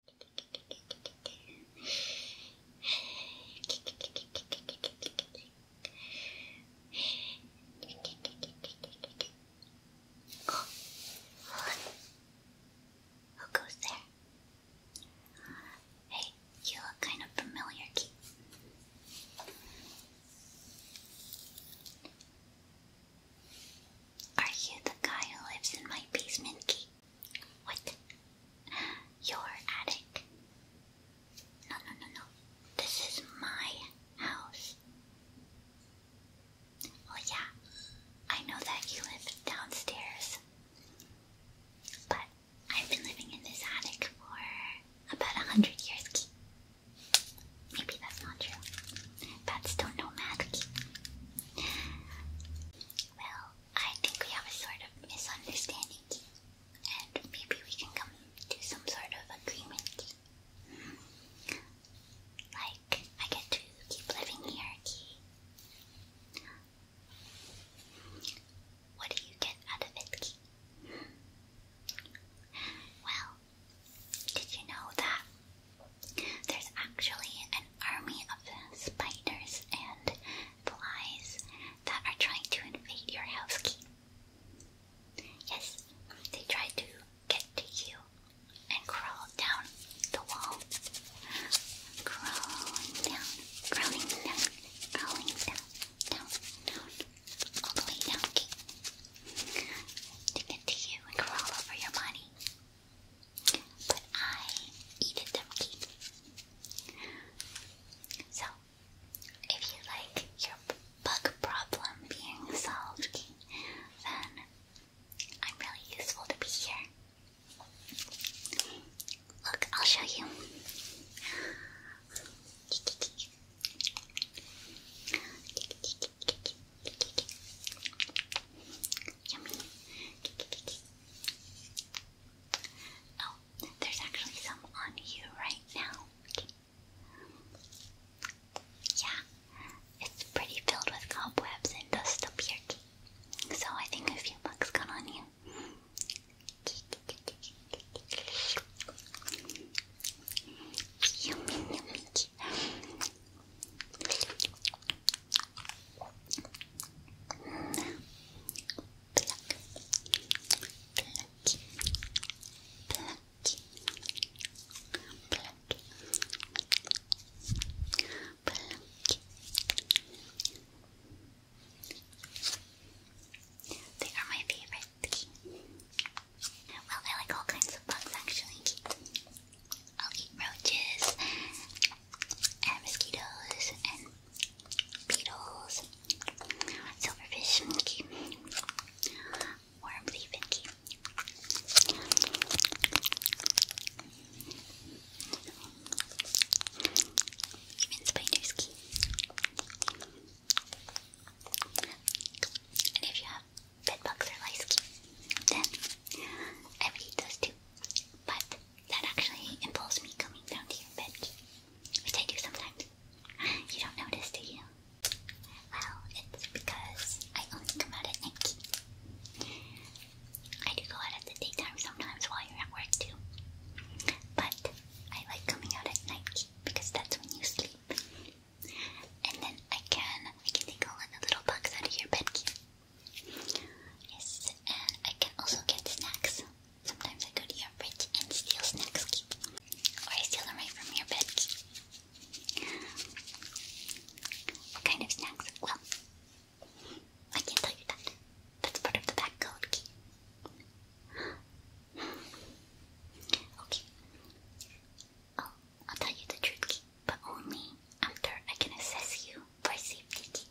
Oh, who goes there? Hey, you look kind of familiar, Keith. Are you the guy who lives in my basement, Keith? What? Your attic? No, no, no, no. This is my house. Oh, yeah. I know that you live downstairs. But I've been living in this attic for about a hundred years. Maybe that's not true. Bats don't know math. Well, I think we have a sort of misunderstanding, and maybe we can come to some sort of agreement. Like, I get to keep living here, What do you get out of it, Well, did you know that there's actually an army of spiders and flies that are trying to invade your house Yes, they try to get to you and crawl down the wall. Crawling down, crawling down, crawling down, down, down, all the way down, To get to you and crawl over your body. But I eat them clean. So, if you like your bug problem being solved, then I'm really useful to be here. Look, I'll show you. Yummy. Oh, there's actually some on you right now. Okay. Yeah, it's pretty filled with cobwebs and dust up here. Okay. So I think a few bucks got on you. Yummy, yummy. They are my favorite. Well, I like all kinds of bugs actually. I'll eat roaches and mosquitoes and beetles, silverfish, worms even. spiders And if you have bedbugs or lice then I would eat too. But that actually involves me coming down to your bed, which I do sometimes. You don't notice, do you? Well, it's because I only come out at night. I do go out at the daytime sometimes while you're at work too. But I like coming out at night because that's when you sleep. And then I can I can take all the little bugs out of your bed. Yes, and I can also get snacks. Sometimes I go to your fridge and steal snacks, or I steal them right from your bed. What kind of snacks? Well, I can't tell you that. That's part of the back code Okay. Oh, I'll tell you the truth but only after I can assess you for safety.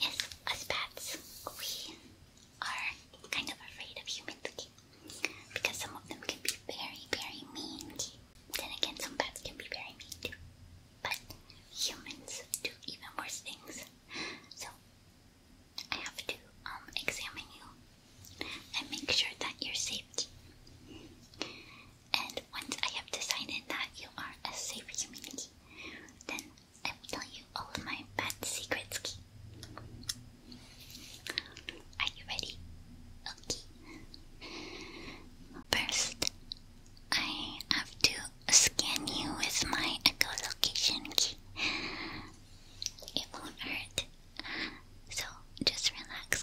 Yes, us bats, we are kind of afraid of humans because some of them can be very, very mean. Then again, some bats can be very mean But humans do even worse things. So I have to um, examine you and make sure that you're safe. And once I have decided that you are a safe community, then I will tell you all of my bad secrets. Are you ready? Okay. First, I have to scan you with my echolocation key. It won't hurt. So just relax,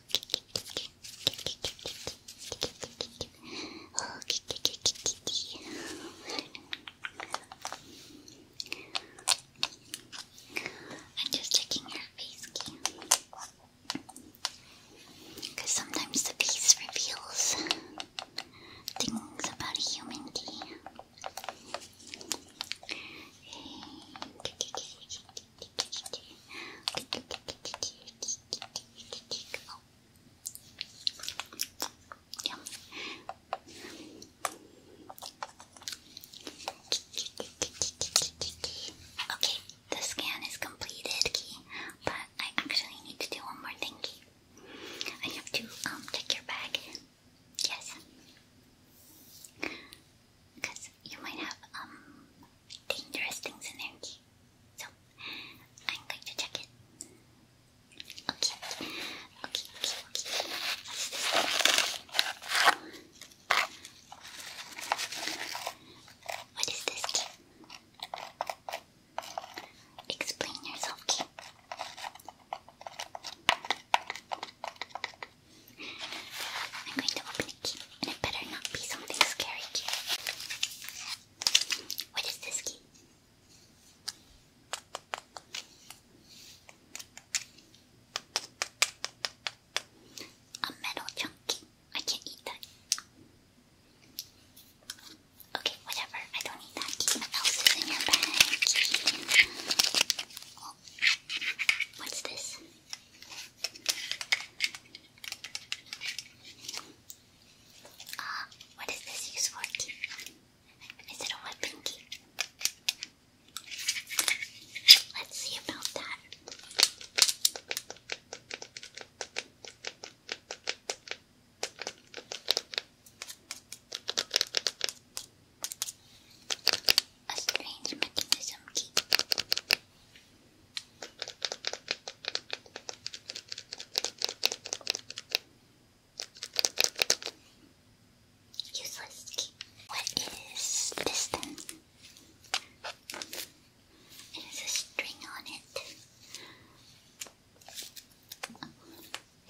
Oh, kitty, kitty, kitty. I'm just checking her face cam. Because sometimes the face reveals things about a human being. Okay, the scan is completed, but I actually need to do one more thing, I have to um check your bag. Yes. Because you might have um dangerous things in there, so I'm going to check it. Okay, okay, okay, okay. What's this key? Explain yourself, key. I'm going to open and it better not be something scary cute. What is this A metal chunky. I can't eat that. Okay, whatever. I don't need that. what else is in your bag? What's this? Ah, what is this used for? Is it a weapon key? Let's see about that. A strange mechanism key. Useless. What is this then? It has a string on it.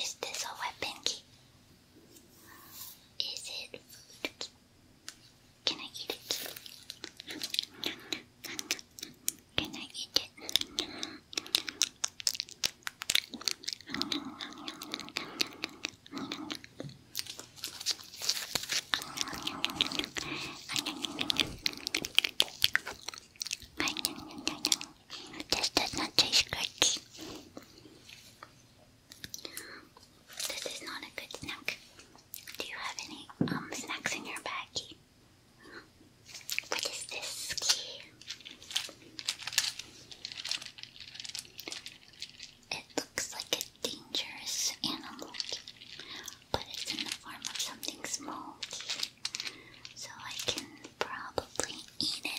Is this a weapon key? Is it food? Can I eat it? Can I eat it? This does not taste good. This is not a good snack. Do you have any um, snacks in your bag? What is this It looks like a dangerous animal, but it's in the form of something small, so I can probably eat it.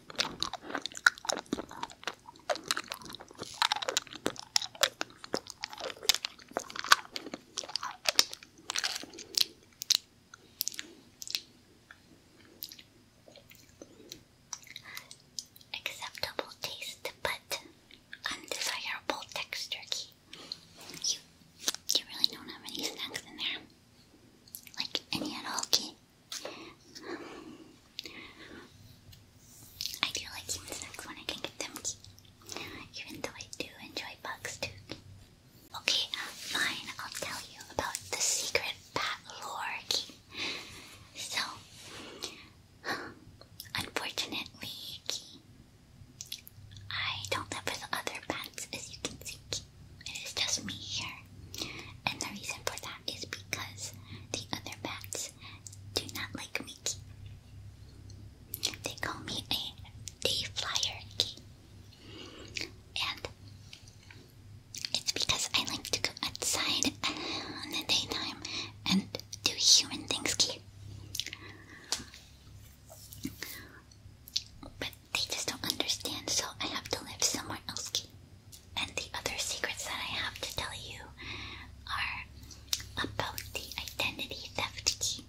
Acceptable taste, but undesirable texture. You, really don't have any snacks in there, like any at Key. I do like insects when I can get them even though I do enjoy bugs too. Okay, fine, I'll tell you about the secret bat lore key. So, unfortunately, key, I don't live with other bats as you can see. It is just me here. And the reason for that is because the other bats do not like me. They call me a day flyer And it's because I like to go outside in the daytime and do human things key they just don't understand, so I have to live somewhere else. And the other secrets that I have to tell you are about the identity theft key.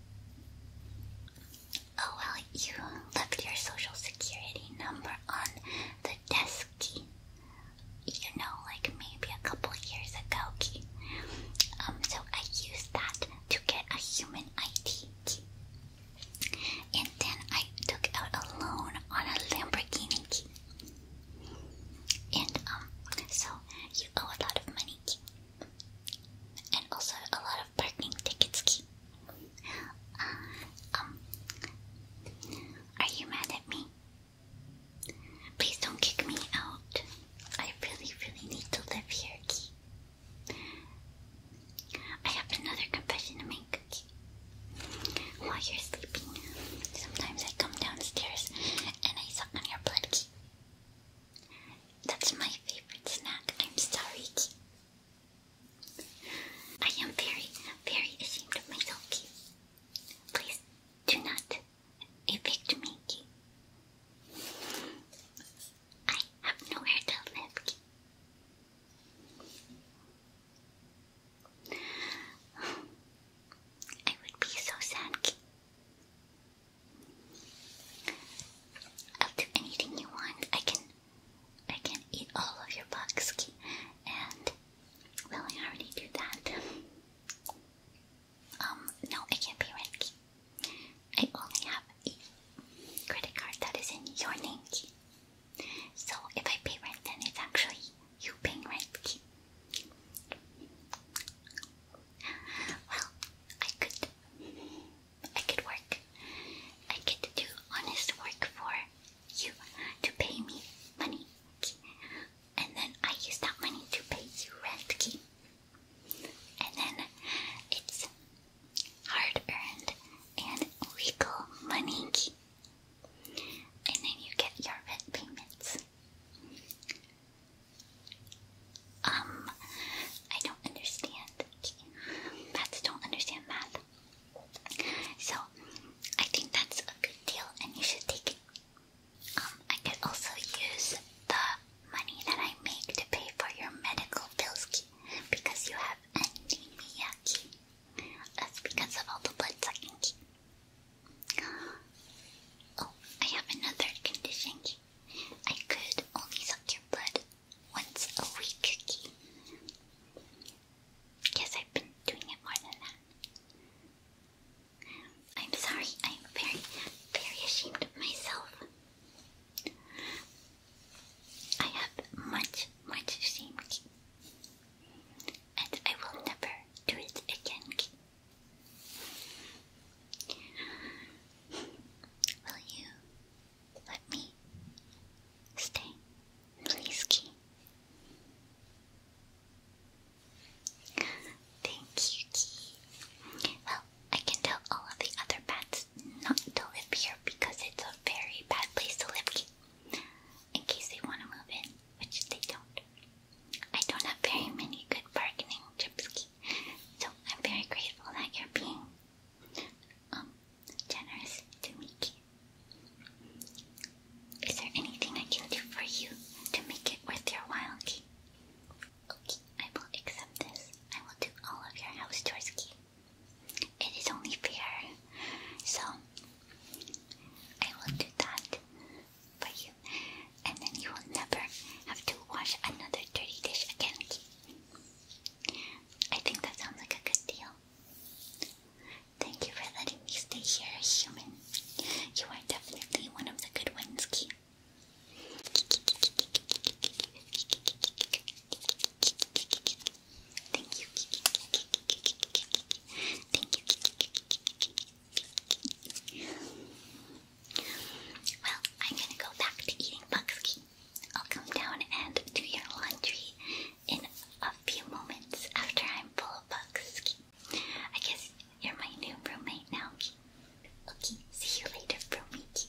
Oh well, you left your social security number on the desk key. You know, like maybe a couple years ago key. Um, so I used that to get a human ID key. And then I took out a loan on a Lamborghini. And um, so you owe a lot of money, and also a lot of parking tickets. Uh, um, are you mad at me? Please don't kick me out. I really, really need to live here, Key. I have another confession to make. While you're sleeping, sometimes I come downstairs and I suck on your blood, Key. That's my favorite snack. I'm sorry, Key. I am very, very ashamed of myself, Key. Please do not evict me, Key. I have nowhere to live, Key. I would be so sad. I'll do anything you want. I can, I can eat all of your bugs, and well, I already do that. Um, no, I can't pay rent. I only have a credit card that is in your name. So if I pay rent, then it's actually you paying rent. Well, I could, I could work. I could do honest work for you to pay me money, and then I use that money to pay you rent. And then it's hard earned, and legal money. And then you get your rent payments. Um, I don't understand. Bats don't understand math. So, I think that's a good deal and you should take it. Um, I could also use the money that I make to pay for your medical bills because you have anemia. That's because of all the blood sucking Oh, I have another condition I could only suck your blood once a week key. I've been doing it more than that. I'm sorry, I'm very, very ashamed of myself. I have much, much shame, and I will never do it again. Will you let me stay, please, Key? Thank you, Key. Well, I can tell all of the other your not to live here because it's a very bad place to live in case they want to move in, which they don't. I don't have very many good bargaining chips, so I'm very grateful that you're being um, generous to me. Is there anything I can do for you to make it worth your while, Okay, I will accept this. I will do all of your house chores, Key. It is only fair. So I will do that for you. And then you will never have to wash another dirty dish again. I think that sounds like a good deal. Thank you for letting me stay here, human. You are definitely one of the good ones, Thank you. Well, I'm gonna go back to eating Bucksky. I'll come down and do your laundry in a few moments after I'm full of Bucksky. I guess you're my new roommate now. Okay, see you later, roomie.